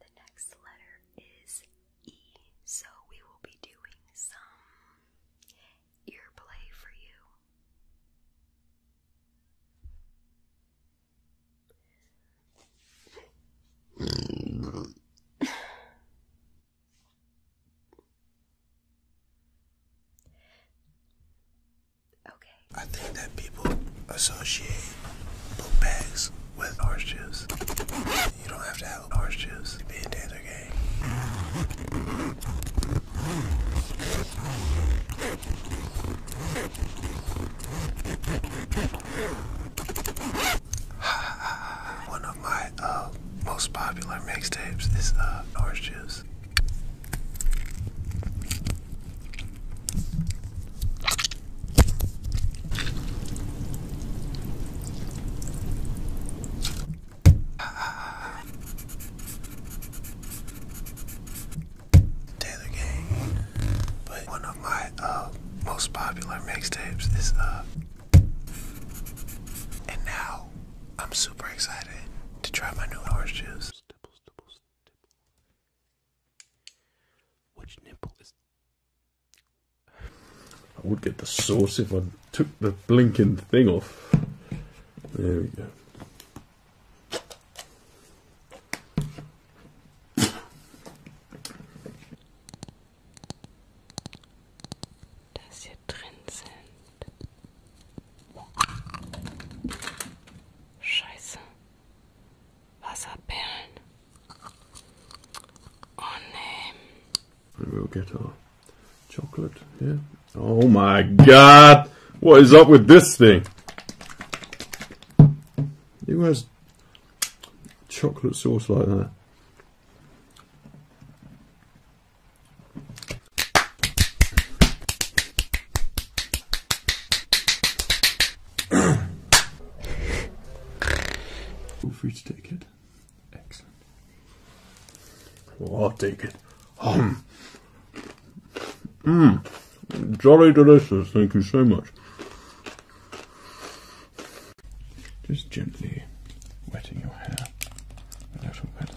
The next letter is E, so we will be doing some ear play for you. Okay. I think that people associate book with orange juice. You don't have to have orange juice to be a Taylor game. One of my uh, most popular mixtapes is orange uh, juice. Taylor Gang, but one of my uh, most popular mixtapes is uh, and now I'm super excited to try my new orange juice. Which nipple is? I would get the sauce if I took the blinking thing off. There we go. dass hier drin sind. Scheiße. Wasserperlen. Oh nee. We'll get our chocolate here. Oh my god! What is up with this thing? Who has chocolate sauce like that? Feel free to take it. Excellent. Oh, I'll take it. Um. Mmm. Jolly delicious. Thank you so much. Just gently wetting your hair a little bit.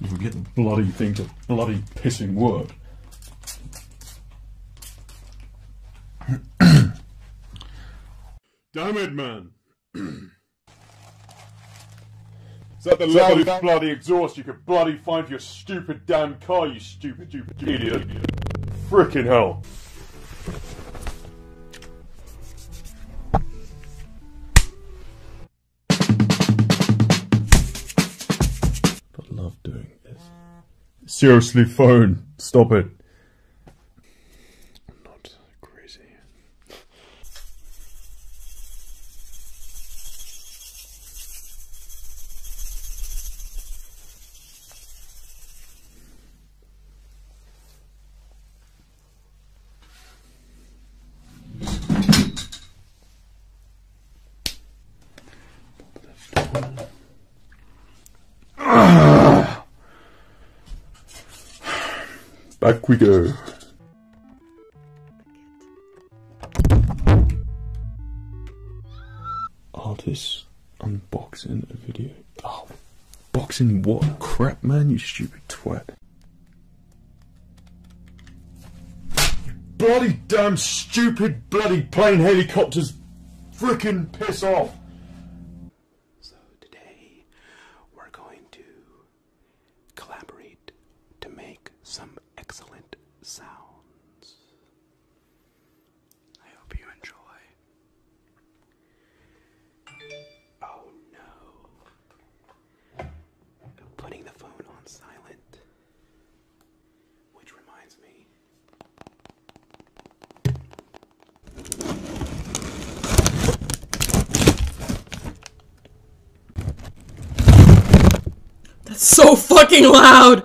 You can get bloody thing to bloody pissing work. Damn it, man! Is that the so level of bloody exhaust you could bloody find for your stupid damn car, you stupid, stupid, idiot? Fricking hell. But love doing this. Seriously, phone, stop it. Not crazy. Back we go. Artist unboxing a video. Oh, boxing what? Crap, man, you stupid twat. Bloody damn stupid bloody plane helicopters freaking piss off. So today we're going to collaborate to make some excellent sounds. I hope you enjoy. Oh no. Putting the phone on silent. Which reminds me. That's so fucking loud!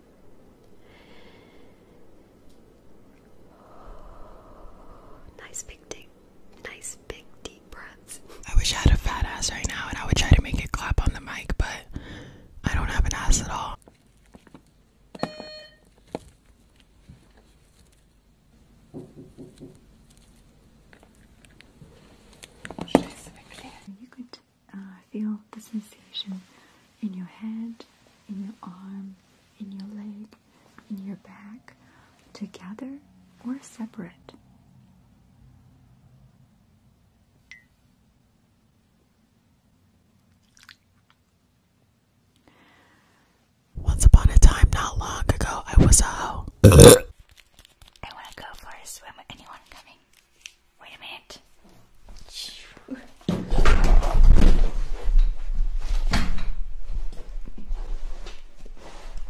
Nice big deep, nice big deep breaths. I wish I had a fat ass right now, and I would try to make it clap on the mic, but I don't have an ass at all uh, feel the sensation in your head, in your arm, in your leg, in your back, together or separate. Once upon a time, not long ago, I was a hoe. I want to go for a swim anyone coming. Wait a minute.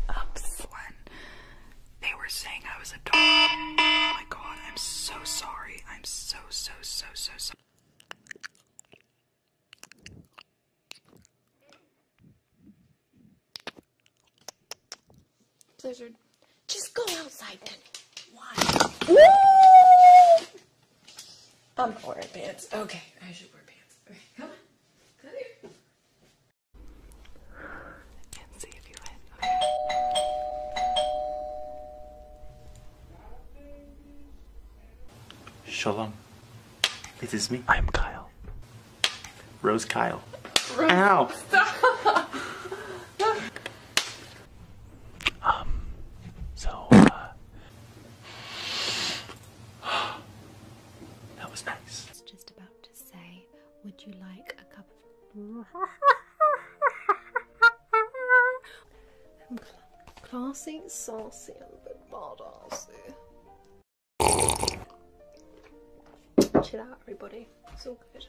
Oops. When they were saying I was a dog. Oh my god, I'm so sorry. I'm so, so, so, so sorry. Blizzard. Just go outside then. Why? I'm not wearing pants. Okay, I should wear pants. Okay, come on. Come here. And see if you win. Shalom. It is me. I am Kyle. Rose Kyle. Rose. Ow! Um, so, uh, that was nice. I was just about to say, would you like a cup of. I'm classy, saucy, and a bit badassy. Chill out, everybody. It's all good.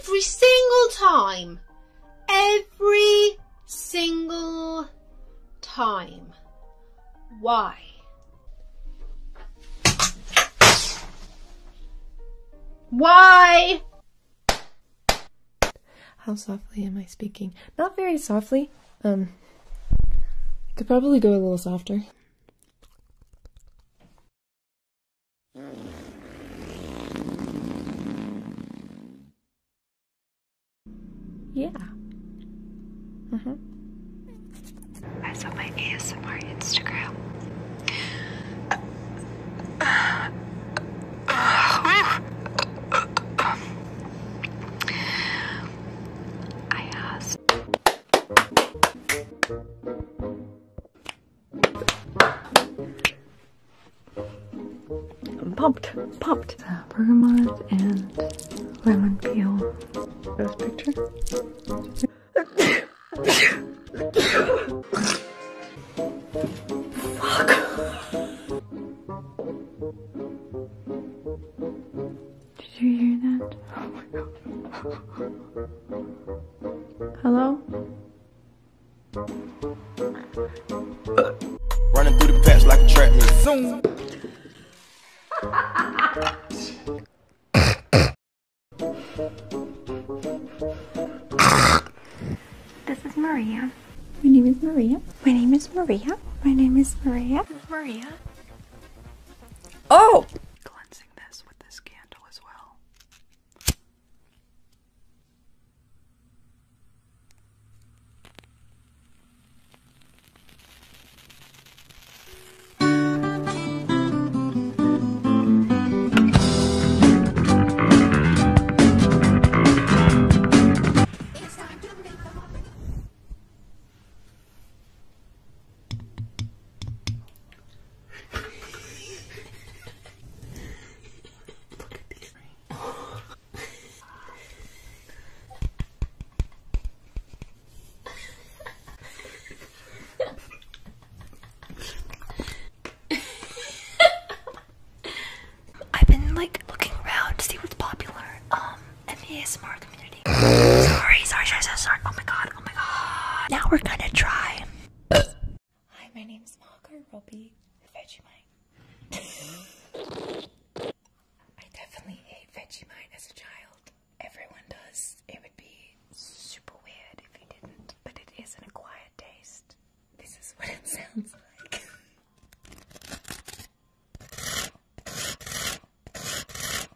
Every single time. Every single time. Why? Why? How softly am I speaking? Not very softly. Um, I could probably go a little softer. Yeah. hmm I saw my ASMR Instagram. I asked. I'm pumped, pumped. Uh, bergamot and lemon peel. This picture. Fuck. Did you hear that? Hello? Running through the patch like a track this is Maria. My name is Maria. My name is Maria. My name is Maria. Maria. Oh! this candle as well. I've been like looking around to see what's popular. Um, in the ASMR community. sorry, sorry, sorry, sorry, sorry. Oh my god, oh my god. Now we're gonna try. Hi, my name's Margaret Robbie Vegemite. I definitely ate Vegemite as a child. Everyone does. It would be super weird if you didn't, but it is an acquired taste. This is what it sounds like.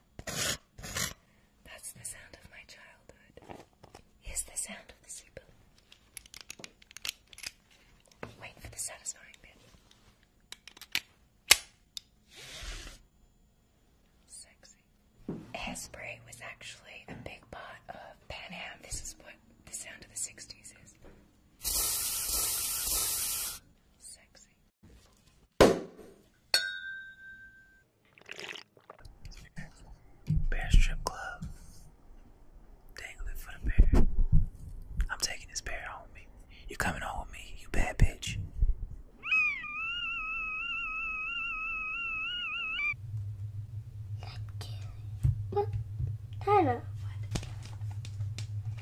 That's the sound of my childhood. Here's the sound of the super. Wait for the satisfying bit. Sexy. Hairspray was actually a big part of Pan Am. This is what the sound of the 60s is. Sexy. Bear strip club. Dangling for the bear. I'm taking this bear home with me. You coming home with me, you bad bitch. What? Tyler. What?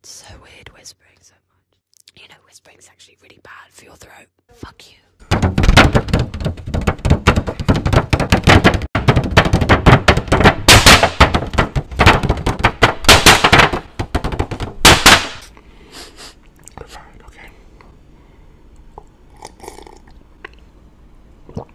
It's so weird whispering so much. You know, whispering is actually really bad for your throat. Fuck you. Fine, okay.